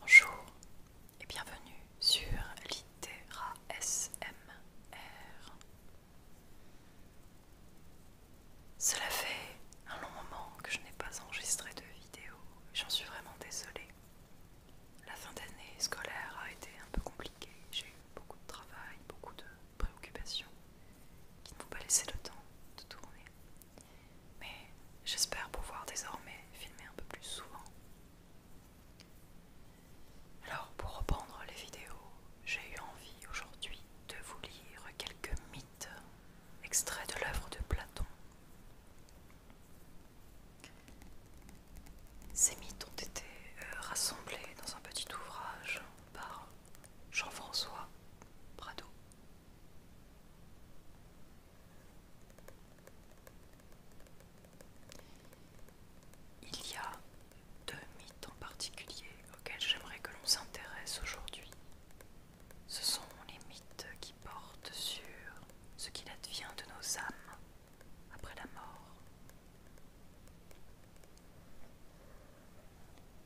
Bonjour et bienvenue sur Litera SMR. Cela fait un long moment que je n'ai pas enregistré de vidéo, j'en suis vraiment désolée. La fin d'année scolaire a été un peu compliquée, j'ai eu beaucoup de travail, beaucoup de préoccupations qui ne m'ont pas laissé le temps de tourner mais j'espère pouvoir désormais filmer un peu plus souvent. Alors pour reprendre les vidéos, j'ai eu envie aujourd'hui de vous lire quelques mythes extraits de l'œuvre de Platon. Ces mythes ont été euh, rassemblés dans un petit ouvrage par Jean-François Prado. Il y a deux mythes en particulier auxquels j'aimerais que l'on s'intéresse aujourd'hui. Ce sont les mythes qui portent sur ce qu'il advient de nos âmes après la mort.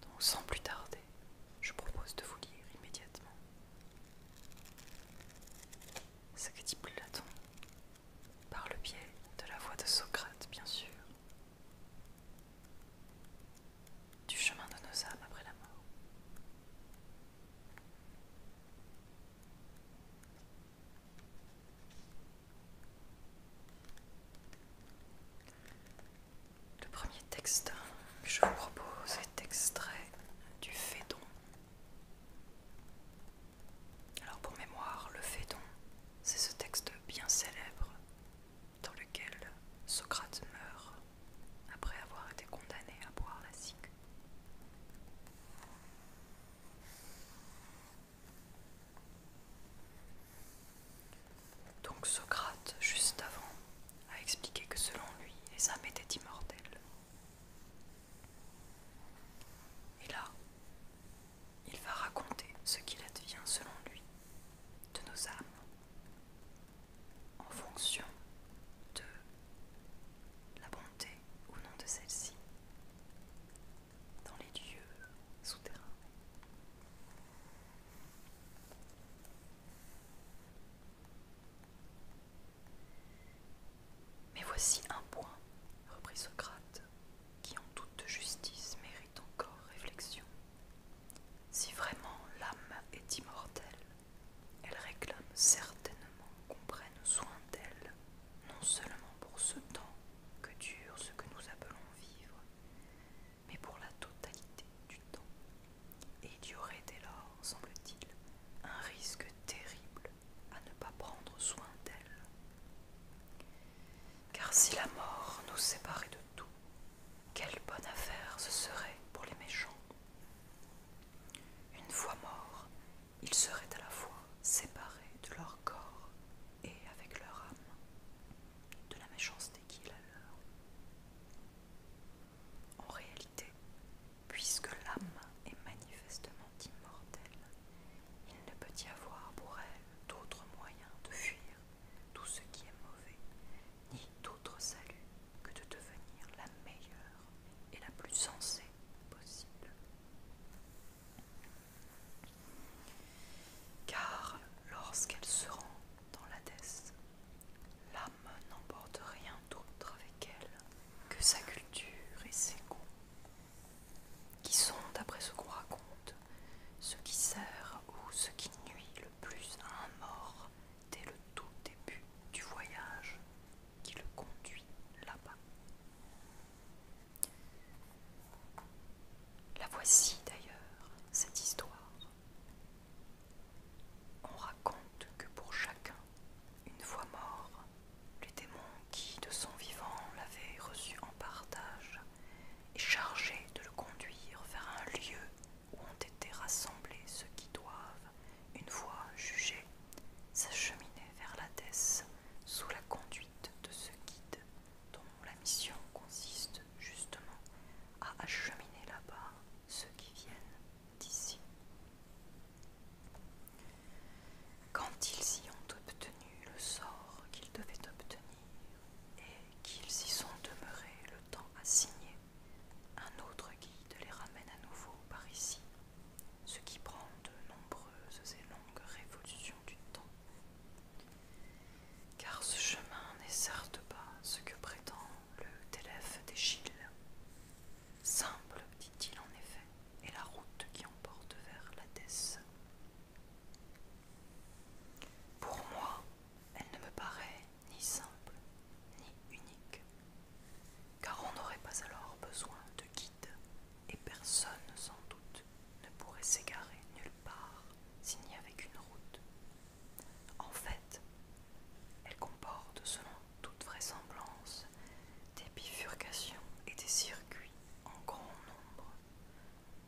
Donc sans plus tarder, je propose de vous lire immédiatement. Ce que dit Platon, par le biais de la voix de Socrate, bien sûr, du chemin de nos âmes après la mort. Le premier texte que je vous propose est extrait du Phédon. Alors pour mémoire, le Phédon, c'est ce texte bien célèbre dans lequel Socrate meurt après avoir été condamné à boire la cigue. Donc Socrate, juste avant a expliqué que selon lui, les âmes étaient immortelles. Et là, il va raconter ce qu'il advient selon lui de nos âmes en fonction de la bonté ou non de celle-ci dans les dieux souterrains. Mais voici un point, reprit Socrate, qui en toute justice mérite encore réflexion. Si vraiment l'âme est immortelle, elle réclame certainement qu'on prenne soin d'elle, non seulement pour ce temps que dure ce que nous appelons vivre, mais pour la totalité du temps. Et il y aurait dès lors, semble-t-il, un risque terrible à ne pas prendre soin d'elle. Car si la mort nous séparait de tout, quelle bonne affaire ce serait pour les méchants. Une fois morts, ils seraient à la fois séparés de leur corps et avec leur âme, de la méchanceté qui est la leur. En réalité, Puisque l'âme est manifestement immortelle, il ne peut y avoir pour elle d'autre moyen de fuir tout ce qui est mauvais, ni d'autre salut que de devenir la meilleure et la plus sensée possible. Car lorsqu'elle se rend dans l'Hadès, L'âme n'emporte rien d'autre avec elle que sa culture et ses goûts, qui sont, d'après ce qu'on raconte, ce qui sert ou ce qui nuit le plus à un mort dès le tout début du voyage qui le conduit là-bas. La voici d'ailleurs, cette histoire. On raconte que pour chacun, une fois mort, les démons qui, de son vivant, l'avaient reçu en partage et chargé de le conduire vers un lieu où ont été rassemblés ceux qui doivent, une fois jugés, s'acheminer vers l'Hadès sous la conduite de ce guide dont la mission consiste justement à acheminer là-bas ceux qui viennent d'ici. Quand ils y ont obtenu le sort qu'ils devaient obtenir et qu'ils y sont demeurés le temps assigné, un autre guide les ramène à nouveau par ici, ce qui prend de nombreuses et longues révolutions du temps. Car ce chemin n'est certes pas ce que prétendent le télèphe d'Échille. Simple, dit-il en effet, est la route qui emporte vers la l'Hadès. Pour moi, elle ne me paraît ni simple ni unique, car on n'aurait pas alors besoin de guide, et personne sans doute ne pourrait s'égarer nulle part s'il n'y avait qu'une route en fait, elle comporte, selon toute vraisemblance, des bifurcations et des circuits en grand nombre.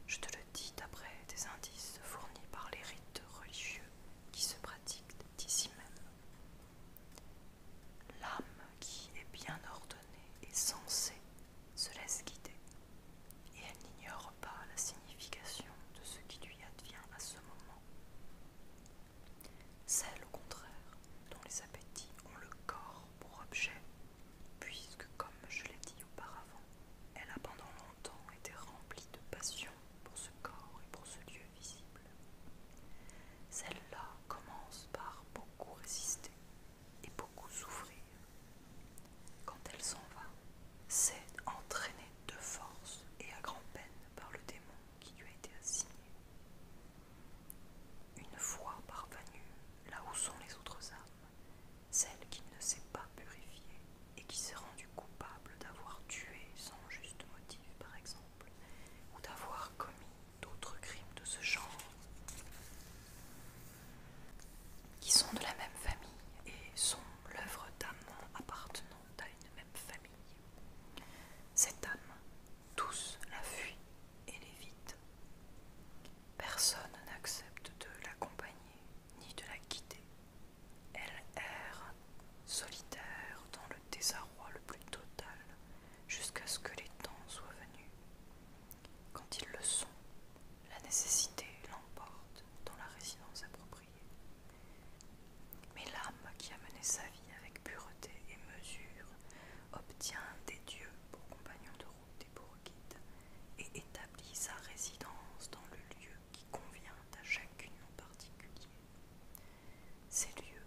Je te le dis d'après des indices fournis par les rites religieux qui se pratiquent ici même. L'âme qui est bien ordonnée et sensée se laisse guider, et elle n'ignore pas la signification de ce qui lui advient à ce moment. Celle au contraire, dont les appétits ont le corps pour objet, puisque, comme je l'ai dit auparavant, elle a pendant longtemps été remplie de passion pour ce corps et pour ce lieu visible. celle là commence par beaucoup résister et beaucoup souffrir. Quand elle s'en va, c'est entraîné de force et à grand-peine par le démon qui lui a été assigné. Une fois parvenu là où sont les autres âmes, celle qui ne s'est pas purifiée et qui s'est rendue coupable d'avoir tué sans juste motif, par exemple, ou d'avoir commis d'autres crimes de ce genre, qui sont de la même famille et sont l'œuvre d'amants appartenant une même famille. Cette âme, tous la fuit et l'évite. Personne n'accepte de l'accompagner ni de la guider. Elle erre, solitaire, dans le désarroi le plus total, jusqu'à ce que les temps soient venus. Quand ils le sont, la nécessité l'emporte dans la résidence appropriée. Mais l'âme qui a mené sa vie avec pureté et mesure obtient des dieux pour compagnons de route et pour guides, et établit sa résidence dans le lieu qui convient à chacune en particulier. Ces lieux,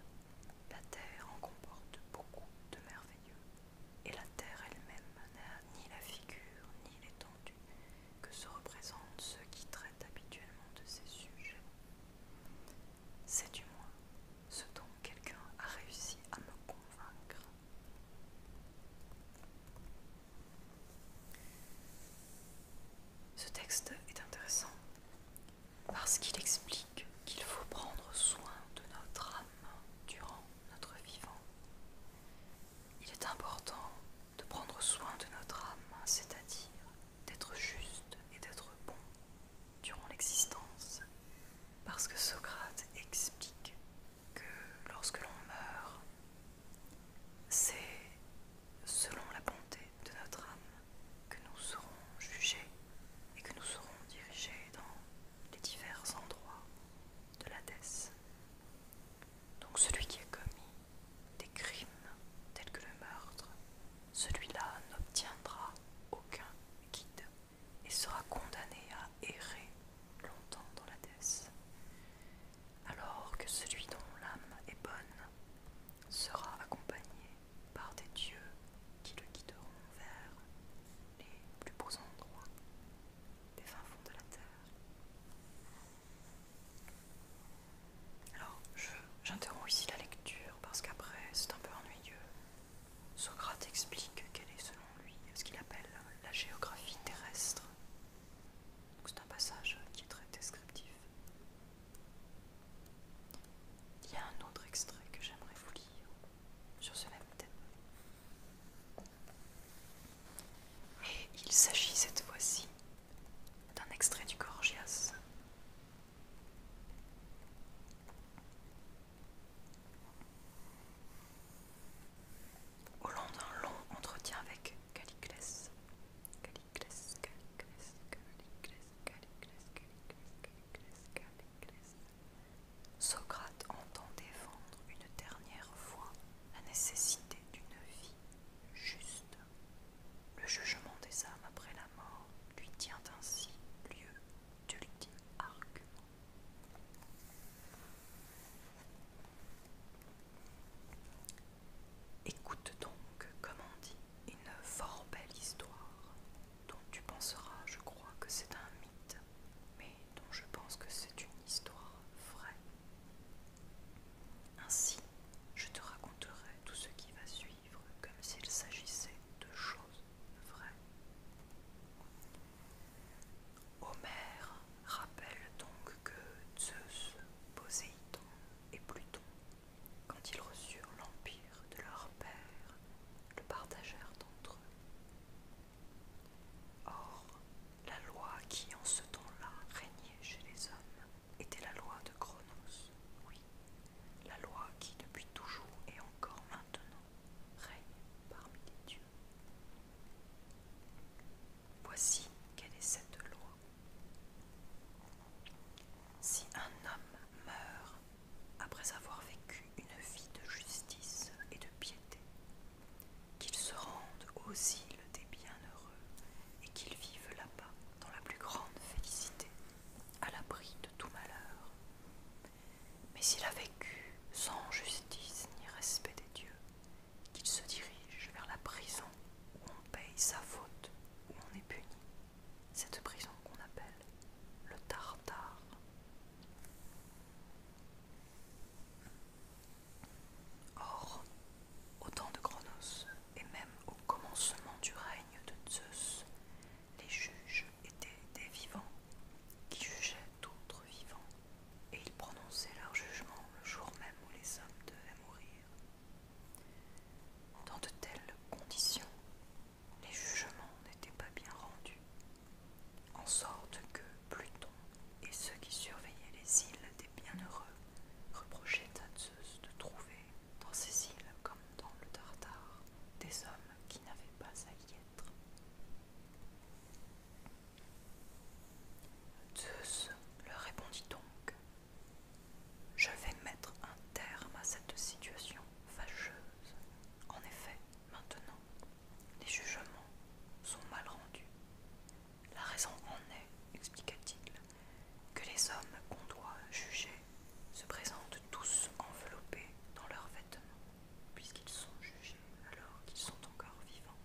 la terre en comporte beaucoup de merveilleux, et la terre elle-même n'a ni la figure, ni l'étendue, que se représentent ceux qui traitent habituellement de ces sujets. C'est du moins ce dont quelqu'un a réussi à me convaincre. Ce texte est intéressant parce qu'il explique qu'il faut prendre soin de notre âme durant notre vivant. Il est important de prendre soin de notre âme, c'est-à-dire d'être juste et d'être bon durant l'existence. Parce que Socrate explique que lorsque l'on meurt, c'est selon la bonté de notre âme que nous serons jugés et que nous serons dirigés dans les divers endroits de l'Hadès. Donc celui qui a commis des crimes tels que le meurtre, celui-là n'obtiendra aucun guide et sera condamné à errer longtemps dans la déesse, alors que celui dont l'âme est bonne sera accompagné par des dieux qui le guideront vers les plus beaux endroits des fins fonds de la terre. Alors, j'interromps ici la lecture parce qu'après, c'est un peu ennuyeux. Socrate explique quelle est, selon lui, ce qu'il appelle la géographie terrestre. C'est un passage qui est très descriptif. Il y a un autre extrait que j'aimerais vous lire sur ce même thème. Et il s'agit cette fois-ci d'un extrait du Gorgias. Au long d'un long entretien avec Caliclès, Socrate entend défendre une dernière fois la nécessité d'une vie juste. Le jugement des âmes après la mort lui tient ainsi lieu d'ultime argument. Écoute donc, comme on dit, une fort belle histoire, dont tu penseras, je crois, que c'est un mythe, mais dont je pense que c'est une histoire vraie. Ainsi, je te raconterai tout ce qui va suivre comme s'il s'agissait de choses vraies. Homère rappelle donc que Zeus, Poséidon et Pluton, quand ils reçurent l'empire de leur père, le partagèrent entre eux. Or, la loi qui en ce temps-là régnait chez les hommes était la loi de Cronos, oui, la loi qui depuis toujours et encore maintenant règne parmi les dieux. Voici quelle est cette loi. Si un homme meurt après avoir vécu une vie de justice et de piété, qu'il se rende aux îles des bien et qu'ils vivent là-bas dans la plus grande félicité, à l'abri de tout malheur. Mais s'il a vécu sans justice ni respect des dieux, qu'il se dirige vers la prison où on paye sa faute, où on est puni, cette prison qu'on appelle le Tartare. Or, au temps de Cronos, et même au commencement du règne de Zeus, les juges étaient des vivants qui jugeaient d'autres vivants, et ils prononçaient leur jugement le jour même où les hommes devaient mourir. Dans de telles conditions, les jugements n'étaient pas bien rendus, en sorte que Pluton et ceux qui surveillaient les îles des bienheureux reprochaient à Zeus de trouver dans ces îles comme dans le Tartare des hommes qui n'avaient pas à y être. Zeus leur répondit donc Je vais mettre un terme à cette situation fâcheuse. En effet, maintenant, les jugements sont mal rendus la raison en est, expliqua-t-il, que les hommes qu'on doit juger se présentent tous enveloppés dans leurs vêtements, puisqu'ils sont jugés alors qu'ils sont encore vivants.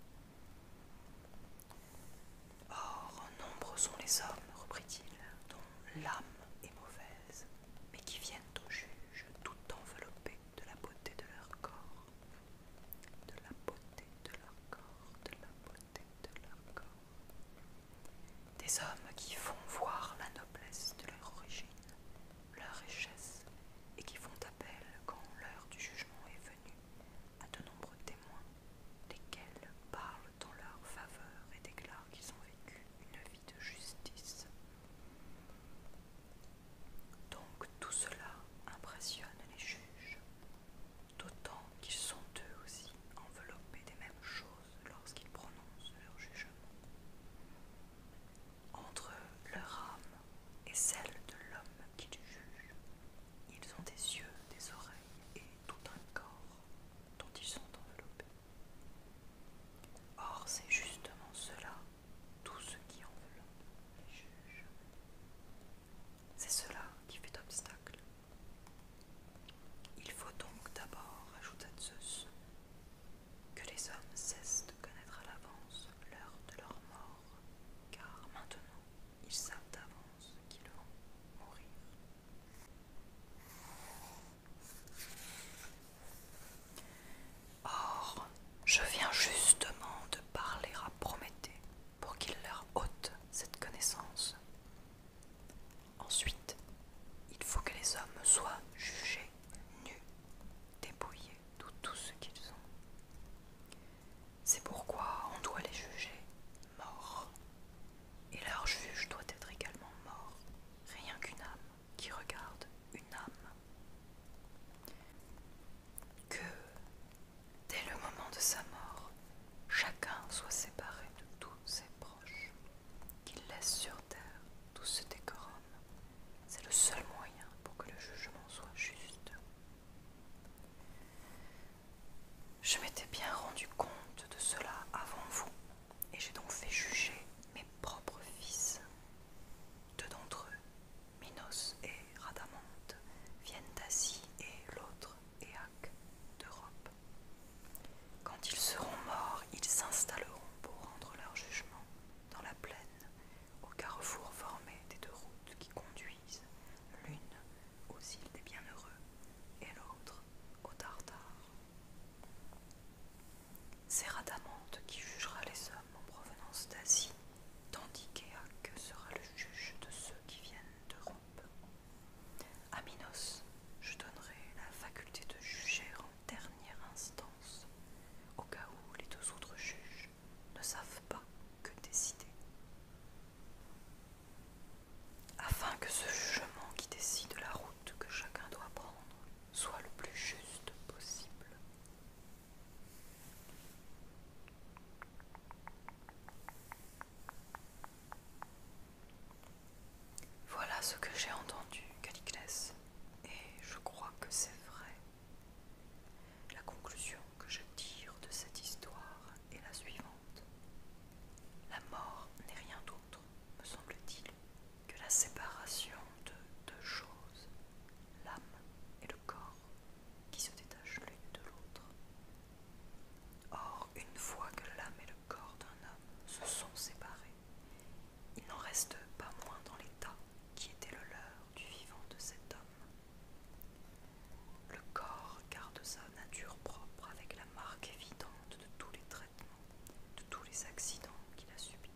Or, nombreux sont les hommes, reprit-il, dont l'âme est mauvaise, mais qui viennent au juge tout enveloppés de la beauté de leur corps de la beauté de leur corps, de la beauté de leur corps. Des hommes qui font voir la noblesse de leur origine, leur richesse, et qui font appel quand l'heure du jugement est venue à de nombreux témoins, lesquels parlent en leur faveur et déclarent qu'ils ont vécu une vie de justice. Donc tout cela impressionne les juges d'autant qu'ils sont eux aussi enveloppés des mêmes choses lorsqu'ils prononcent leur jugement. Entre leur âme et celle de l'homme qui les juge, ils ont des yeux, des oreilles et tout un corps dont ils sont enveloppés. Or, c'est justement cela, tout ce qui enveloppe les juges. C'est cela qui fait obstacle. Il faut donc d'abord, ajouta Zeus, que les hommes cessent de connaître à l'avance l'heure de leur mort, car maintenant ils savent d'avance qu'ils vont mourir. Or, je viens justement de parler à Prométhée pour qu'il leur ôte cette connaissance. Ensuite, il faut que les hommes soient jugés, nus, dépouillés de tout ce qu'ils ont. C'est pourquoi on doit les juger morts. Et leur juge doit être également mort, rien qu'une âme qui regarde une âme que dès le moment de sa mort, chacun soit séparé de tous ses proches, qu'il laisse sur terre tout ce décorum. C'est le seul moyen pour que le jugement soit juste. Je m'étais bien rendu compte de cela avant vous, et j'ai donc fait juger mes propres fils. Deux d'entre eux, Minos et Radamante, viennent d'Asie et l'autre et d'Europe. Quand ils seront morts, ils s'installeront pour rendre leur jugement dans la plaine, au carrefour formé des deux routes qui conduisent l'une aux îles des bienheureux et l'autre aux Tartares. C'est Radamante qui jugera les hommes en provenance d'Asie, tandis qu'Éaque sera le juge de ceux qui viennent d'Europe. A Minos, je donnerai la faculté de juger en dernière instance, au cas où les deux autres juges ne savent pas que décider. Afin que ce jugement qui décide la route que chacun doit prendre soit le plus juste possible. Voilà ce que j'ai entendu, Caliclès, et je crois que c'est vrai. La conclusion que je tire de cette histoire est la suivante. La mort n'est rien d'autre, me semble-t-il, que la séparation de deux choses, l'âme et le corps qui se détachent l'une de l'autre. Or, une fois que l'âme et le corps d'un homme se sont séparés, il n'en reste pas moins dans l'état qui était le leur du vivant de cet homme. Le corps garde sa nature propre avec la marque évidente de tous les traitements, de tous les accidents qu'il a subis.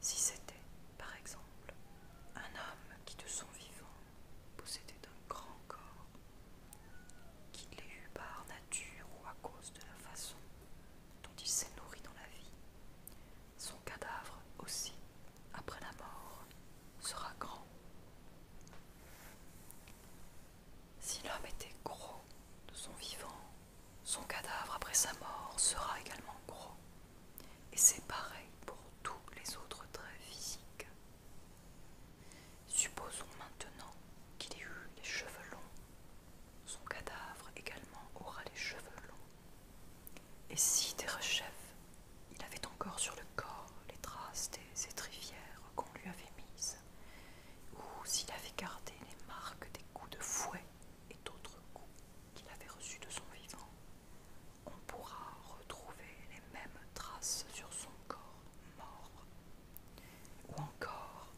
Si c'était, par exemple, un homme qui de son vivant possédé d'un grand corps, qu'il l'ait eu par nature ou à cause de la façon dont il s'est nourri dans la vie, son cadavre aussi, après la mort, sera grand. Si l'homme était gros de son vivant, son cadavre après sa mort sera également gros. Et c'est pareil pour tous les autres traits physiques Supposons maintenant qu'il ait eu les cheveux longs. Son cadavre également aura les cheveux longs. Et si Derechef, il avait encore sur le corps les traces des étrivières qu'on lui avait mises, ou s'il avait gardé les marques des coups de fouet et d'autres coups qu'il avait reçus de son vivant, on pourra retrouver les mêmes traces sur son corps mort. Ou encore,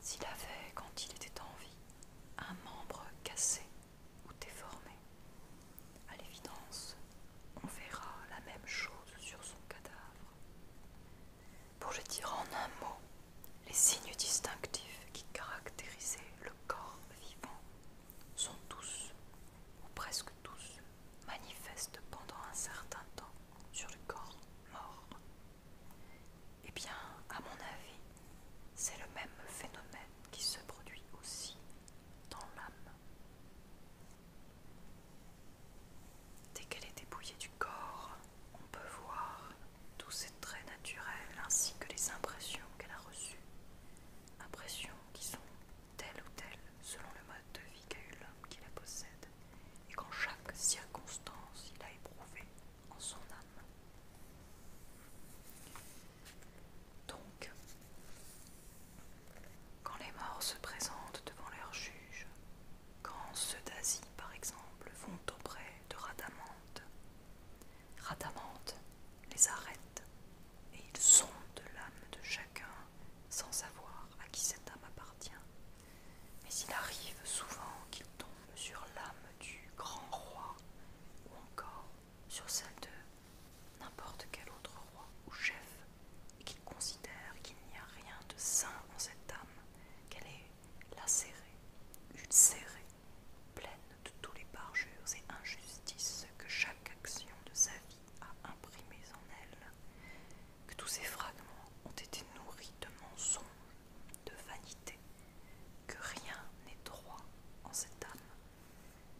s'il avait, quand il était en vie, un membre cassé ou déformé. À l'évidence, on verra la même chose sur son cadavre. Pour le dire en un mot, les signes distinctifs qui caractérisaient le corps vivant sont tous, ou presque tous, manifestes pendant un certain temps sur le corps mort. Eh bien, à mon avis, c'est le même phénomène qui se produit aussi dans l'âme. Dès qu'elle est dépouillée du corps, on peut voir tous ses traits naturels ainsi que les impressions qu'elle a reçues, impressions qui sont tel ou tel selon le mode de vie qu'a eu l'homme qui la possède, et qu'en chaque circonstance il a éprouvé en son âme. Donc, quand les morts se présentent devant leur juge, quand ceux d'Asie, par exemple, vont auprès de Radamante, Radamante les arrête et ils sont de l'âme de chacun sans savoir à qui cette âme appartient. Mais il arrive souvent qu'ils tombent sur l'âme du grand roi ou encore sur celle de n'importe quel autre roi ou chef et qu'ils considèrent qu'il n'y a rien de sain en cette âme, qu'elle est lacérée, ulcérée, pleine de tous les parjures et injustices que chaque action de sa vie a imprimé en elle, que tous ces fragments ont été nourris de mensonges, de vanités, que rien n'est droit en cette âme,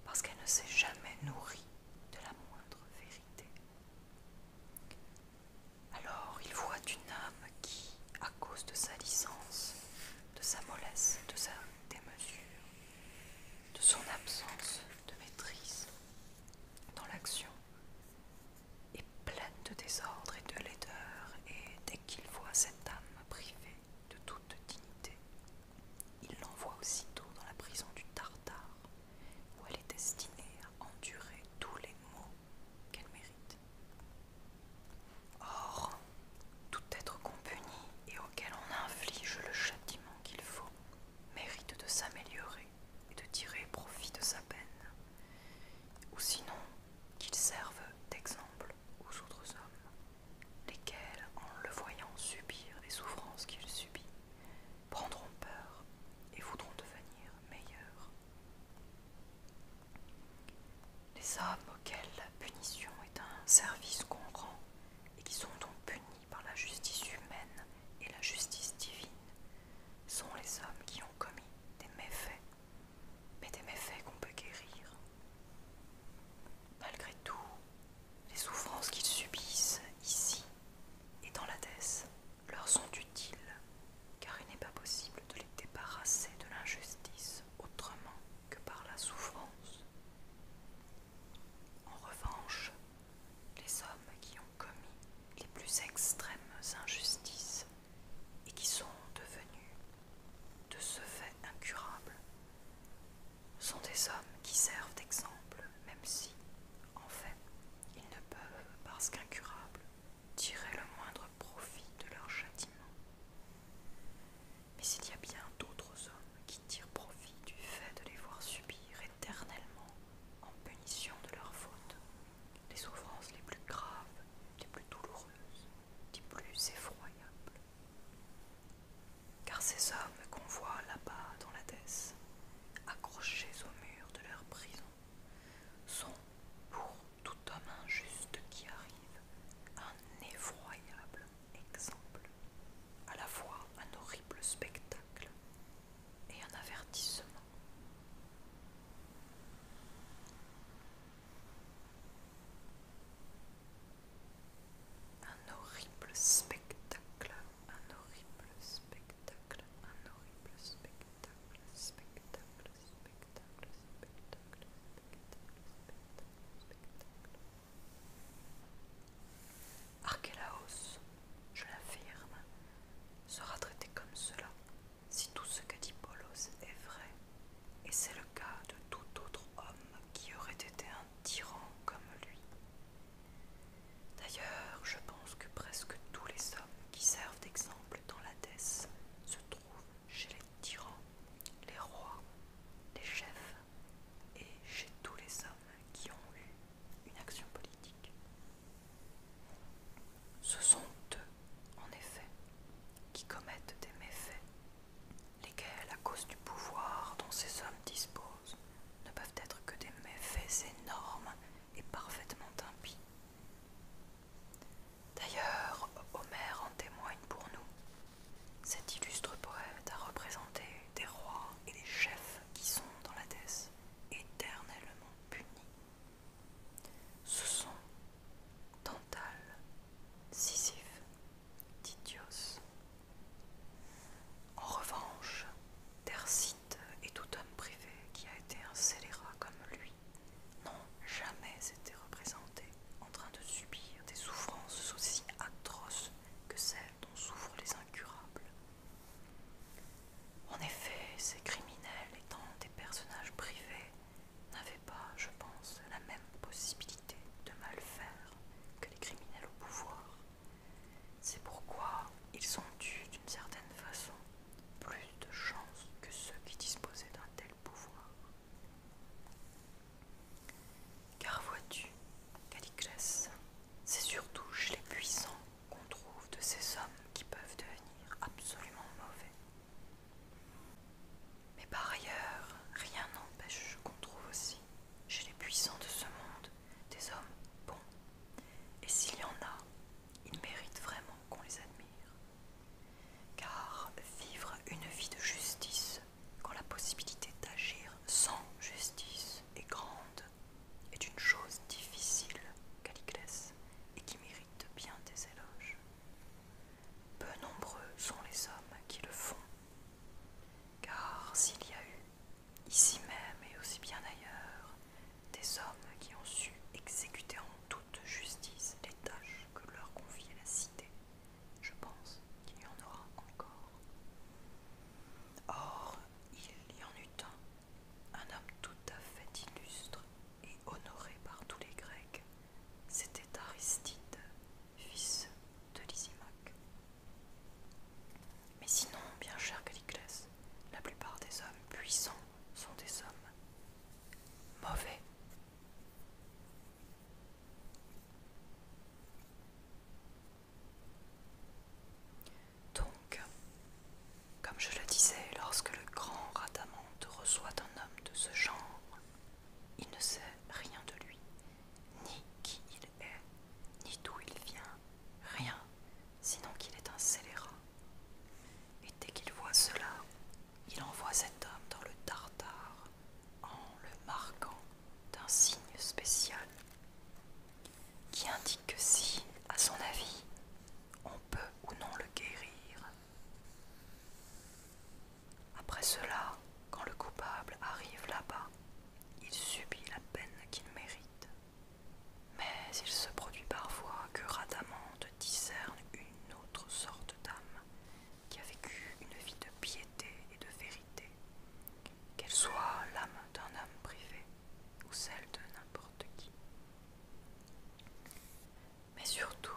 parce qu'elle ne s'est jamais nourrie de la moindre vérité. Alors il voit une âme qui, à cause de sa licence, de sa mollesse, de sa démesure, de son absence de maîtrise dans l'action est pleine de désordre et de laideur, et dès qu'il voit cette âme privée de toute dignité, il l'envoie aussitôt dans la prison du Tartare, où elle est destinée à endurer tous les maux qu'elle mérite. Or, tout être compuni et qu'elle on inflige le châtiment qu'il faut mérite de s'améliorer et de tirer profit de sa peine, ou sinon qu'il serve d'exemple aux autres hommes, lesquels, en le voyant subir les souffrances qu'il subit, prendront peur et voudront devenir meilleurs. Les hommes auxquels la punition est un service qu'on rend et qui sont donc punis par la justice humaine et la justice divine sont les hommes qui ont commis des méfaits, mais des méfaits qu'on peut guérir. Malgré tout, les souffrances qu'ils subissent ici et dans l'Hadès leur sont utiles, car il n'est pas possible de les débarrasser de l'injustice autrement que par la souffrance. En revanche, les hommes qui ont commis les plus extrêmes injustices et qui sont devenus de ce fait incurables sont des hommes qui servent d'exemple, même si, en fait, ils ne peuvent, parce qu'incurables, tirer le moindre profit de leur châtiment mais il y a bien d'autres hommes qui tirent profit du fait de les voir subir éternellement en punition de leurs fautes les souffrances les plus graves, les plus douloureuses, les plus effroyables. Car ces hommes qu'on voit là-bas dans la Thèse, accrochés au mur de leur prison, sont, pour tout homme injuste qui arrive, un effroyable exemple à la fois un horrible spectacle et un avertissement. Un horrible spectacle, un horrible spectacle, un horrible spectacle, spectacle, spectacle, spectacle, spectacle, Archélaos, je l'affirme, sera traité comme cela si tout ce qu'a dit Polos est vrai, et c'est le cas de tout autre homme qui aurait été un tyran comme lui. D'ailleurs, je pense que presque tous les hommes qui servent d'exemple dans l'Hadès se trouvent chez les tyrans, les rois, les chefs et chez tous les hommes qui ont eu une action politique. Ce sont eux, en effet, qui commettent des méfaits, lesquels, à cause du pouvoir dont ces hommes disposent, ne peuvent être que des méfaits énormes et parfaitement impies. D'ailleurs, Homère en témoigne pour nous cet illustre poète a représenté des rois et des chefs qui sont dans la Thèse éternellement punis. Ce sont Tantale, Sisyphe, Titios. En revanche, Tercite et tout homme privé qui a été un scélérat comme lui n'ont jamais été représentés en train de subir des souffrances aussi atroces que celles dont souffrent les incurables. En effet, ces criminels étant des personnages privés, n'avaient pas, je pense, la même possibilité de mal faire que les criminels au pouvoir. C'est pourquoi ils ont eu, d'une certaine façon, plus de chance que ceux qui disposaient d'un tel pouvoir. Car vois-tu, Caliclès, c'est surtout chez les puissants qu'on trouve de ces hommes qui peuvent devenir absolument mauvais. Mais par ailleurs, rien n'empêche qu'on trouve aussi chez les puissants de ce monde des hommes bons. Et s'il y en a, ils méritent vraiment qu'on les admire. Car vivre une vie de justice quand la possibilité d'agir sans justice est grande, est une chose difficile, Caliclès, et qui mérite bien des éloges. Peu nombreux sont les hommes qui le font, car s'il y a eu, ici même et aussi bien ailleurs, des hommes qui ont su exécuter en toute justice les tâches que leur confiait la cité, je pense qu'il y en aura encore. Or, il y en eut un, un homme tout à fait illustre et honoré par tous les Grecs. C'était Aristide, fils de Lysimaque. Mais sinon, bien cher Caliclès, la plupart des hommes puissants sont des hommes mauvais. Donc, comme je le disais, lorsque le grand Radamante reçoit un homme de ce genre, il ne sait rien de lui, ni qui il est, ni d'où il vient, rien, sinon qu'il est un scélérat. Et dès qu'il voit cela, il envoie cet homme dans le tartare en le marquant d'un signe spécial qui indique que si, à son avis, on peut ou non le guérir. Après cela, quand le coupable arrive là-bas, il subit la peine qu'il mérite. Mais il se produit parfois que Radamante discerne une autre sorte d'âme qui a vécu une vie de piété et de vérité qu'elle soit l'âme d'un homme privé ou celle de n'importe qui. Mais surtout,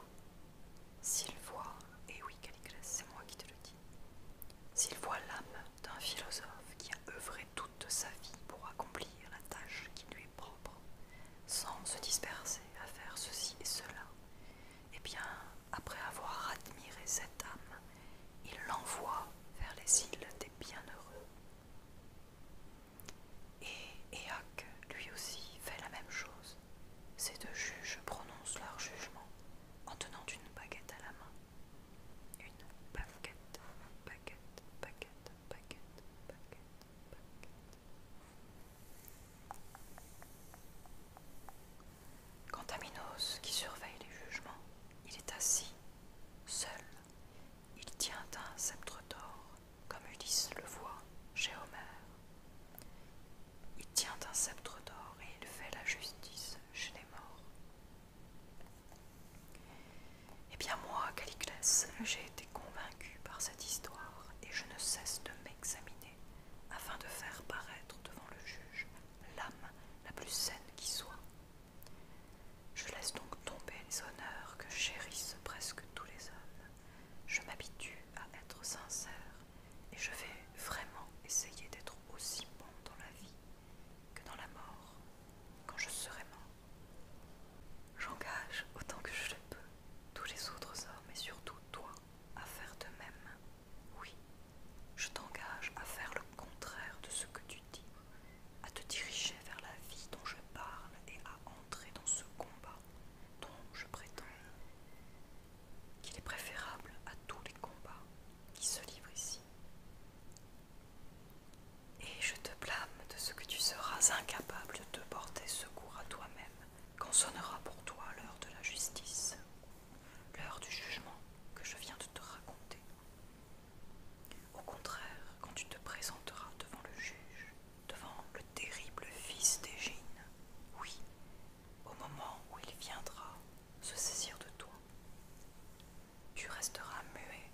s'il voit, et oui c'est moi qui te le dis, s'il voit l'âme d'un philosophe qui a œuvré toute sa vie pour accomplir la tâche qui lui est propre, sans se disperser à faire ceci et cela, eh bien, après avoir admiré cette âme, il l'envoie vers les îles des bienheureux. Et Éac lui aussi, fait la même chose. Ces deux juges prononcent leur jugement en tenant une baguette à la main. Une baguette, baguette, baguette, baguette, baguette. Quant à Minos, qui surveille les jugements, il est assis, seul. Il tient un sceptre d'or, comme Ulysse le voit chez Homère. Il tient un sceptre d'or et il fait la justice chez les morts. Eh bien moi, Caliclès, j'ai été convaincu par cette histoire et je ne cesse de m'examiner afin de faire paraître devant le juge l'âme la plus saine qui soit. Je laisse donc tomber les honneurs que chérissent presque tous les hommes. Je m'habitue à être sincère et je vais vraiment essayer d'être aussi bon dans la vie que dans la mort, quand je serai mort. J'engage autant que je le peux tous les autres hommes et surtout toi à faire de même. Oui, je t'engage à faire le contraire de ce que tu dis, à te diriger vers la vie dont je parle et à entrer dans ce combat dont je prétends qu'il est préférable à tous les combats qui se livrent ici. Et je te blâme de ce que tu seras incapable de porter secours à toi-même quand sonnera pour toi l'heure de la justice l'heure du jugement que je viens de te raconter. Au contraire, quand tu te présenteras devant le juge, devant le terrible fils d'Égine, oui, au moment où il viendra se saisir de toi, tu resteras muet,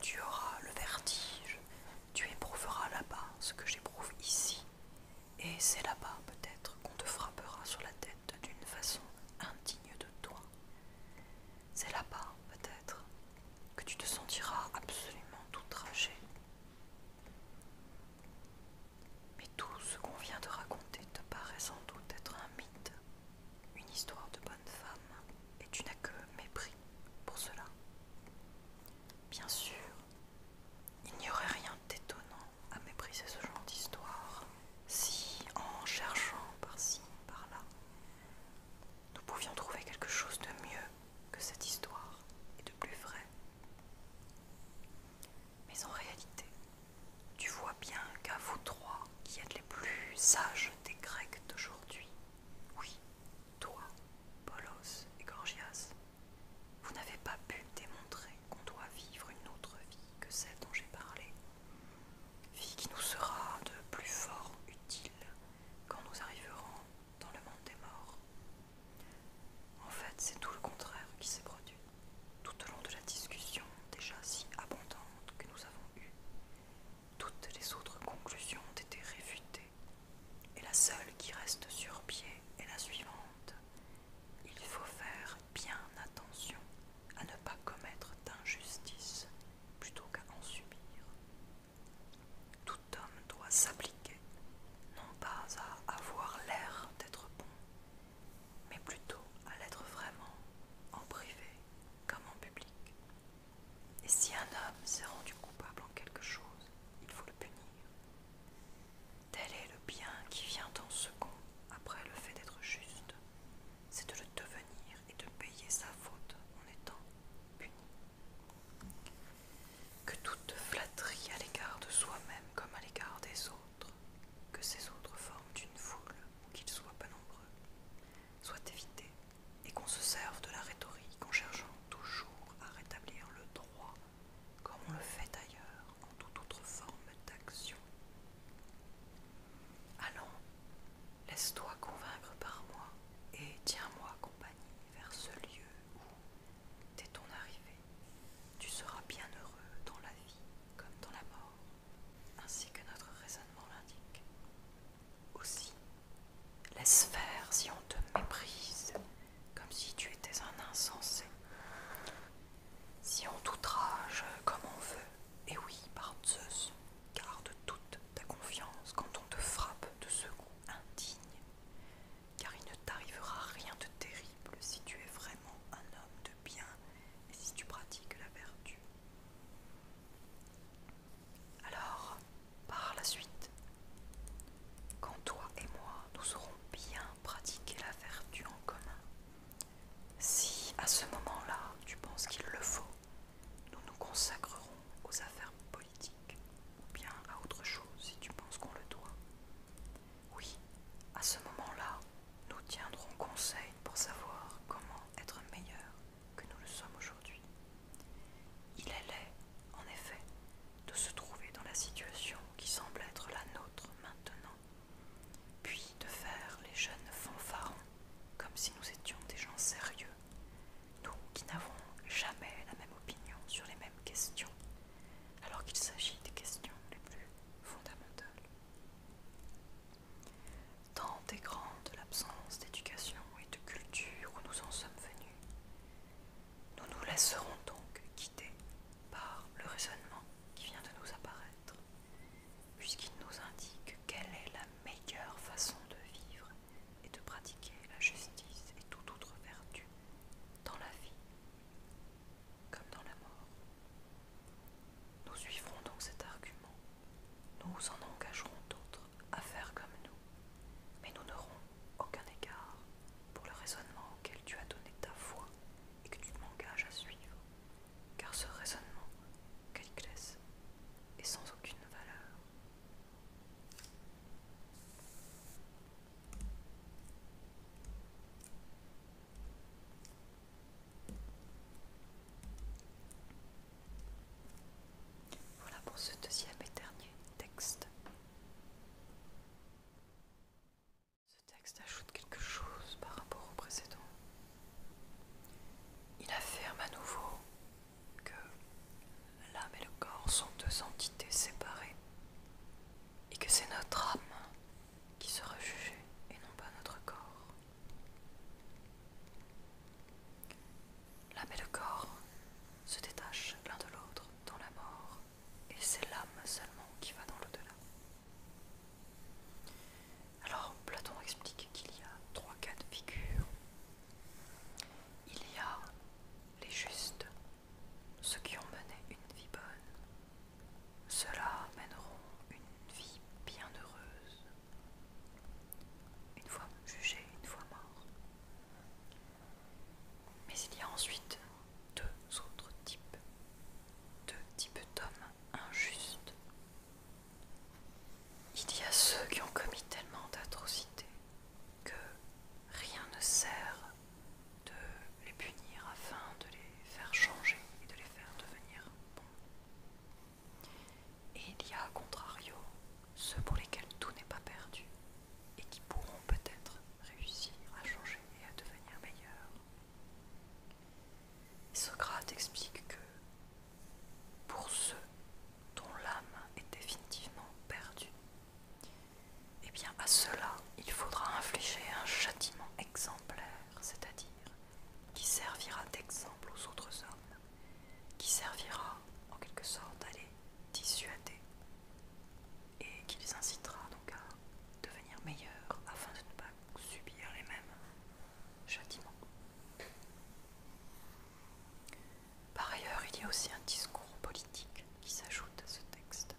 tu auras le vertige, tu éprouveras là-bas ce que j'éprouve ici, et c'est là-bas peut-être qu'on te frappera sur la tête d'une façon indigne de toi. C'est là-bas, peut-être, que tu te sentiras absolument outragé. Mais tout ce qu'on vient de raconter te paraît sans doute être un mythe, une histoire de bonne femme, et tu n'as que mépris pour cela. Bien sûr, il n'y aurait rien d'étonnant à mépriser ce genre d'histoire si en cherchant par-ci, par-là, nous pouvions trouver quelque chose de mieux que cette histoire et de plus vrai. Mais en réalité, tu vois bien qu'à vous trois, qui êtes les plus sages des Grecs d'aujourd'hui, oui, toi, Polos et Gorgias, vous n'avez pas pu démontrer qu'on doit vivre une autre vie que celle dont j'ai parlé, vie qui nous sera de plus fort utile quand nous arriverons dans le monde des morts. En fait, c'est tout le contraire qui s'est produit. Tout au long de la discussion déjà si abondante que nous avons eue, toutes les autres conclusions ont été réfutées, et la seule qui reste sur pied est la suivante. Il faut faire bien attention à ne pas commettre d'injustice plutôt qu'à en subir. Tout homme doit s'appliquer, non pas à avoir l'air d'être bon, mais plutôt à l'être vraiment, en privé comme en public. Et si un homme s'est rendu coupable en quelque chose, il faut le punir. Tel est le bien qui vient en second après le fait d'être juste, c'est de le devenir et de payer sa faute en étant puni. Que toute flatterie à l'égard de soi-même comme à l'égard des autres, que ces autres forment une foule ou qu'ils soient pas nombreux, soit évitée et qu'on se serve de la rhétorique en cherchant toujours à rétablir le droit comme on le fait ailleurs en toute autre forme d'action Allons, laisse-toi convaincre par moi et tiens-moi compagnie vers ce lieu où, dès ton arrivée, tu seras bien heureux dans la vie comme dans la mort, ainsi que notre raisonnement l'indique. Aussi, laisse faire si on te méprise, comme si tu étais un insensé si on t'outrage comme on veut, et oui, par Zeus, garde toute ta confiance quand on te frappe de ce coup indigne, car il ne t'arrivera rien de terrible si tu es vraiment un homme de bien et si tu pratiques la vertu. Alors, par la suite, quand toi et moi nous aurons bien pratiqué la vertu en commun, si à ce moment-là, tu penses qu'il le faut, nous nous consacrerons aux affaires politiques ou bien à autre chose si tu penses qu'on le doit. Oui, à ce moment-là, nous tiendrons conseil pour savoir comment être meilleurs que nous le sommes aujourd'hui. Il est laid, en effet, de se trouver dans la situation qui semble être la nôtre maintenant puis de faire les jeunes fanfarons comme si nous étions des gens sérieux, nous qui n'avons jamais la même opinion sur les mêmes questions, alors qu'il s'agit des questions les plus fondamentales. Tant est grande l'absence d'éducation et de culture où nous en sommes venus, nous nous laisserons donc quitter par le raisonnement qui vient de nous apparaître, puisqu'il nous indique quelle est la meilleure façon de vivre et de pratiquer la justice et toute autre vertu dans la vie comme dans la mort. Nous suivrons donc cet argument, nous en engagerons d'autres à faire comme nous, mais nous n'aurons aucun égard pour le raisonnement auquel tu as donné ta foi et que tu m'engages à suivre, car ce raisonnement, Caliclès, est sans aucune valeur. Voilà pour ce deuxième et dernier texte. Ce texte ajoute quelque chose par rapport au précédent. Il affirme à nouveau que l'âme et le corps sont deux entités séparées et que c'est notre âme qui sera jugée et non pas notre corps. L'âme et le corps se détachent l'un de l'autre dans la mort et c'est l'âme seulement qui va dans l'au-delà. Alors Platon explique qu'il y a trois cas de figure. Il y a les justes, ceux qui ont mené une vie bonne. Ceux-là mèneront une vie bienheureuse. Une fois jugés, une fois morts. Mais il y a ensuite deux autres types, deux types d'hommes injustes. Il y a ceux qui ont commis tellement d'atrocités que rien ne sert de les punir afin de les faire changer et de les faire devenir bons. Et il y a, à contrario, ceux pour lesquels tout n'est pas perdu et qui pourront peut-être réussir à changer et à devenir meilleurs. Socrate explique que pour ceux dont l'âme est définitivement perdue, eh bien à cela il faudra infliger un châtiment exemplaire, c'est-à-dire qui servira d'exemple aux autres hommes, qui servira en quelque sorte à les dissuader et qui les incitera donc à devenir meilleurs afin de ne pas subir les mêmes châtiments. Par ailleurs, il y a aussi un discours politique qui s'ajoute à ce texte,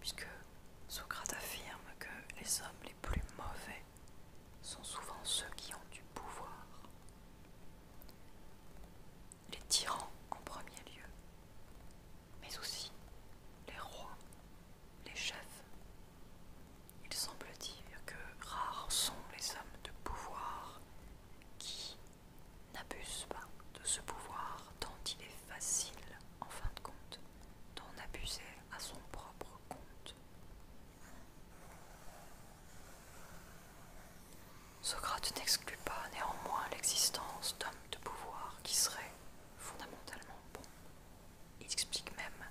puisque Socrate affirme que les hommes les plus mauvais sont souvent ceux qui ont du pouvoir. Les tyrans en premier lieu, mais aussi les rois, les chefs. Il semble dire que rares sont les hommes de pouvoir qui n'abusent pas de ce pouvoir tant il est facile, en fin de compte, d'en abuser à son propre compte. Socrate n'exclut pas néanmoins l'existence d'hommes de pouvoir qui seraient fondamentalement il explique même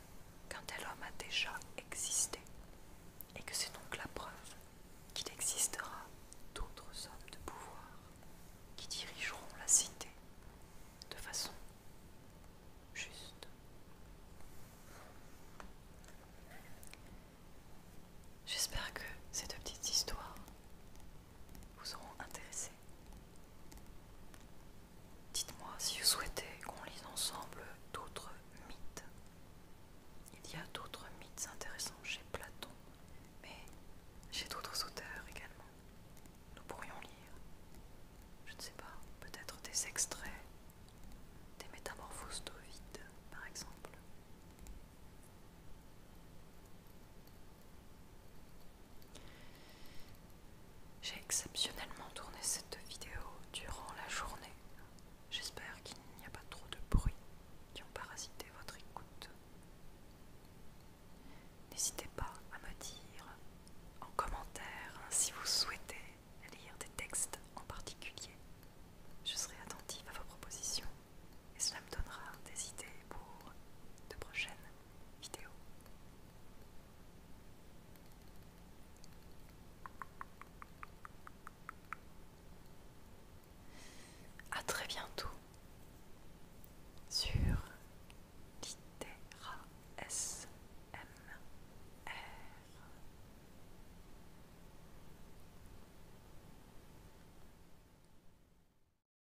qu'un tel homme a déjà existé et que c'est donc la preuve qu'il existera d'autres hommes de pouvoir qui dirigeront la cité de façon juste. J'espère que cette petite histoire vous auront intéressé. Dites-moi si vous souhaitez qu'on lise ensemble d'autres mythes. Il y a d'autres mythes intéressants chez Platon, mais chez d'autres auteurs également. Nous pourrions lire, je ne sais pas, peut-être des extraits des métamorphoses d'Ovide, par exemple. J'ai exceptionnellement tourné cette vidéo durant la journée. J'espère qu'il n'y a pas trop de bruit qui ont parasité votre écoute. N'hésitez pas à me dire en commentaire si vous souhaitez lire des textes en particulier. Je serai attentive à vos propositions et cela me donnera des idées pour de prochaines vidéo. À très bientôt sur Litera S